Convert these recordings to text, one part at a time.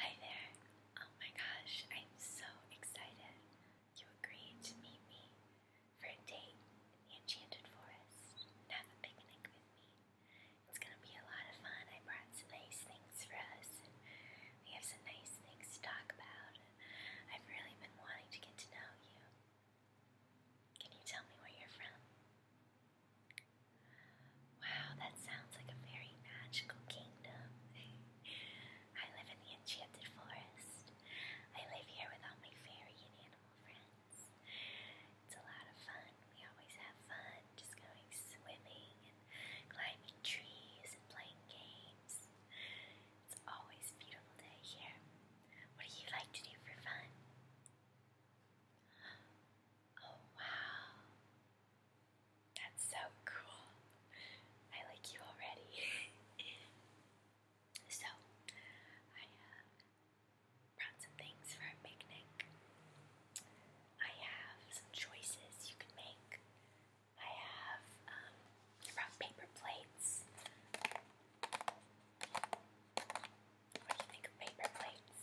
Hi there. Oh my gosh, I'm so excited. You agreed to meet me for a date in the Enchanted Forest and have a picnic with me. It's gonna be a lot of fun. I brought some nice things for us, and we have some nice things to talk about. I've really been wanting to get to know you. Can you tell me where you're from? Wow, that sounds like a very magical kingdom. I live in the enchanted forest. I live here with all my fairy and animal friends. It's a lot of fun. We always have fun just going swimming and climbing trees and playing games. It's always a beautiful day here. What do you like to do for fun? Oh wow, that's so cool. I like you already. so, I uh, brought some things for our picnic. I have some choices you can make. I have um, paper plates. What do you think of paper plates?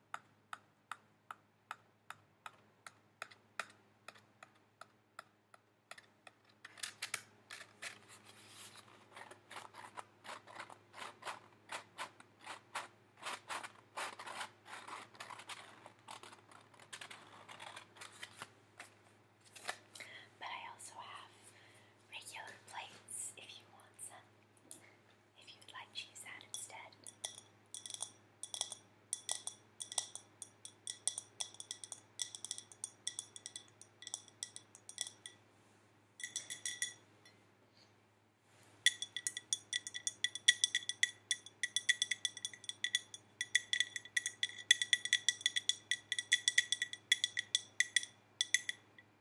But I also have regular plates if you want some if you would like to use that instead. Now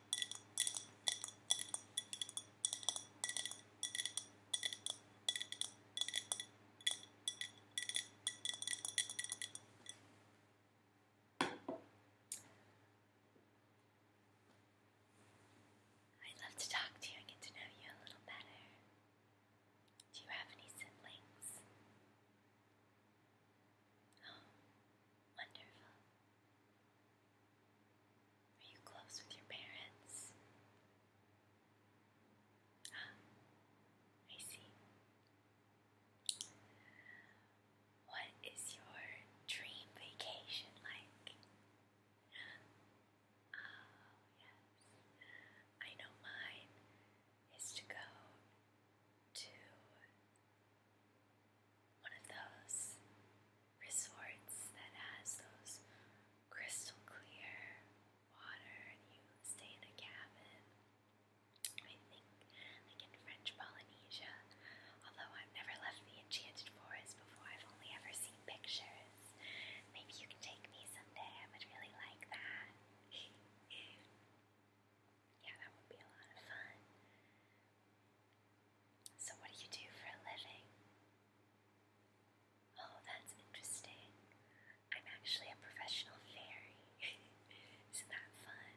I would love to talk to you and get to know you a little better. Do you have any siblings? Oh, wonderful. Are you close with your parents? Ah, I What is your dream vacation like? Oh, yes. I know mine is to go to one of those resorts that has those crystal clear water, and you stay in a cabin. I think, like in French Polynesia, although I've never left the Enchanted Forest before, I've only ever seen pictures. Maybe you can take me someday, I would really like that. Yeah, that would be a lot of fun. So, what do you do for a living? Oh, that's interesting. I'm actually a professional fairy. Isn't that fun?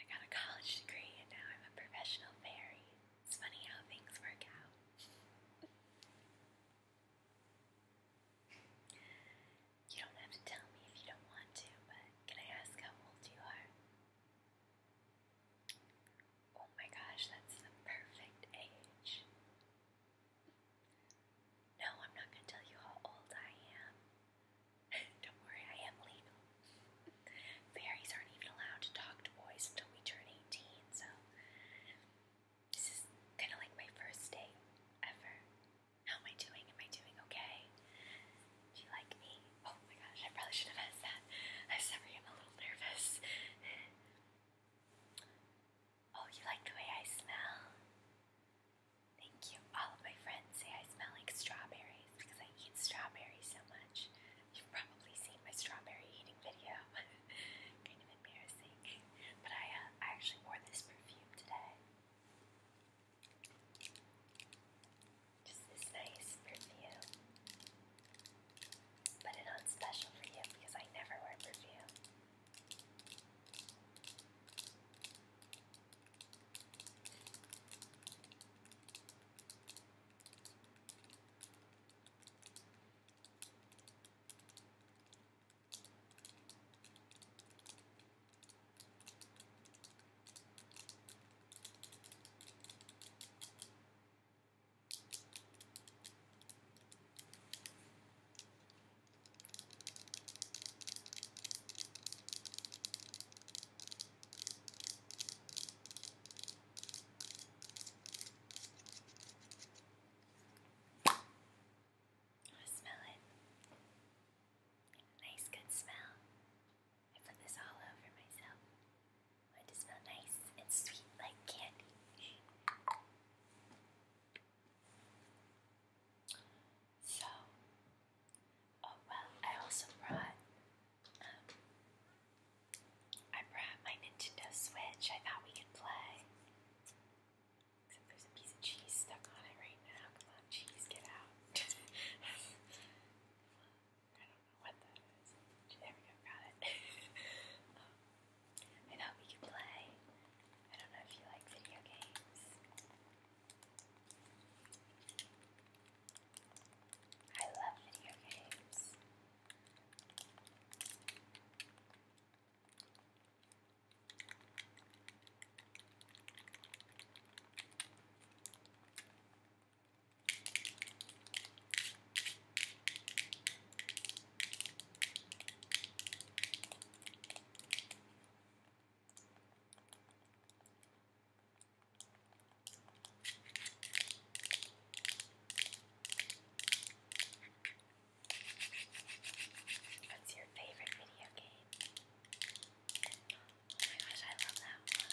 I got a college degree and now I'm a professional fairy. It's funny how things work out. you don't have to tell me if you don't want to, but can I ask how old you are? Oh my gosh, that's the perfect age. No, I'm not going to tell you how old I am. Don't worry, I am legal. Fairies aren't even allowed to talk to boys until we turn 18, so this is kind of like my first date ever. How am I doing? Am I doing okay? Do you like me? Oh my gosh, I probably should have asked that. I'm I'm a little nervous. Oh, you like the way I smell? Thank you. All of my friends say I smell like strawberries because I eat strawberries so much. You've probably seen my strawberry eating video. kind of embarrassing. But I, uh, I actually wore this perfume today. Just this nice perfume. Put it on special for you because I never wear perfume. I smell it. Nice good smell. I put this all over myself. I want to smell nice and sweet like candy. So, oh well, I also brought, um, I brought my Nintendo Switch. I thought we could play. Except there's a piece of cheese stuck on it right now. Come on, cheese, get out. I don't know what that is. There we go, got it. Um, I thought we could play. I don't know if you like video games. I love video games. What's your favorite video game? Oh my gosh, I love that one.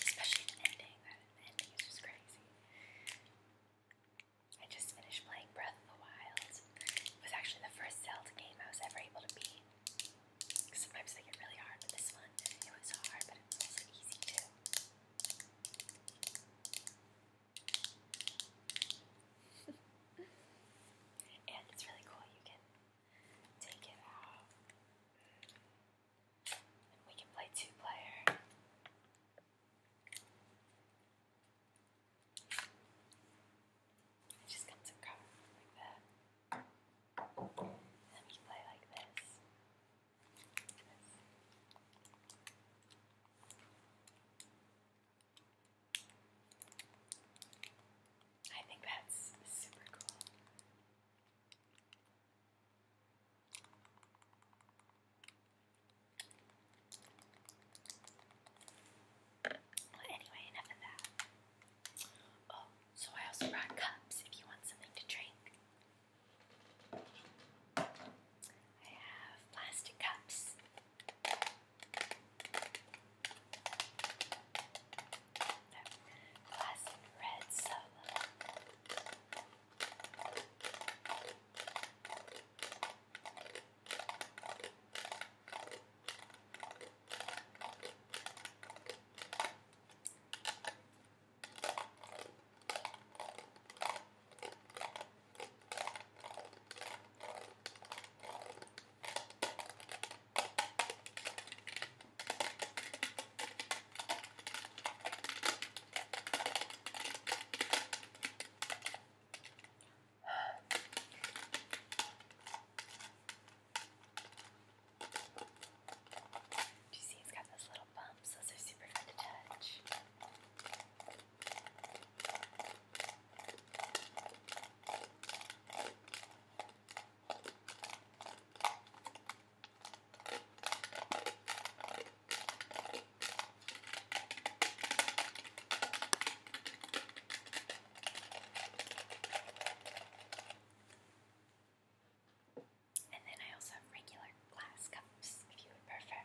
Especially the ending. That ending is just crazy. I just finished playing Breath of the Wild. It was actually the first Zelda game I was ever able to beat. Sometimes they get really hard with this one. And it was hard, but it was also easy too. and it's really cool. You can take it out. we can play two player. just comes in cover like that. And then play Like this. I think that's super cool. Well, anyway, enough of that. Oh, so I also brought cups if you want something to drink. I have plastic cups. Classic red solo. Now do you see it's got those little bumps? Those are super fun to touch. And then I also have regular glass cups if you would prefer.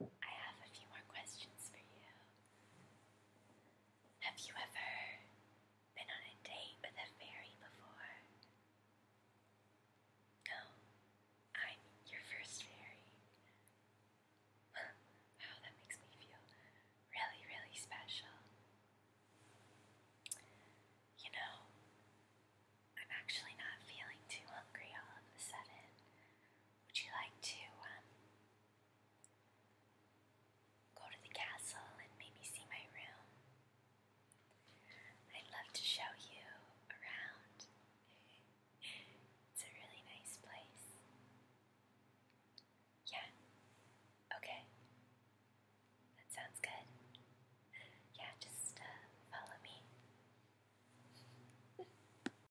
I have a few more questions for you. Have you ever been on a date with a fairy before? No, I'm your first fairy. wow, that makes me feel really, really special. You know, I'm actually not feeling too hungry all of a sudden. Would you like to um, go to the castle and maybe see my room? I'd love to show you around. It's a really nice place. Yeah. Okay. That sounds good. Yeah, just uh, follow me.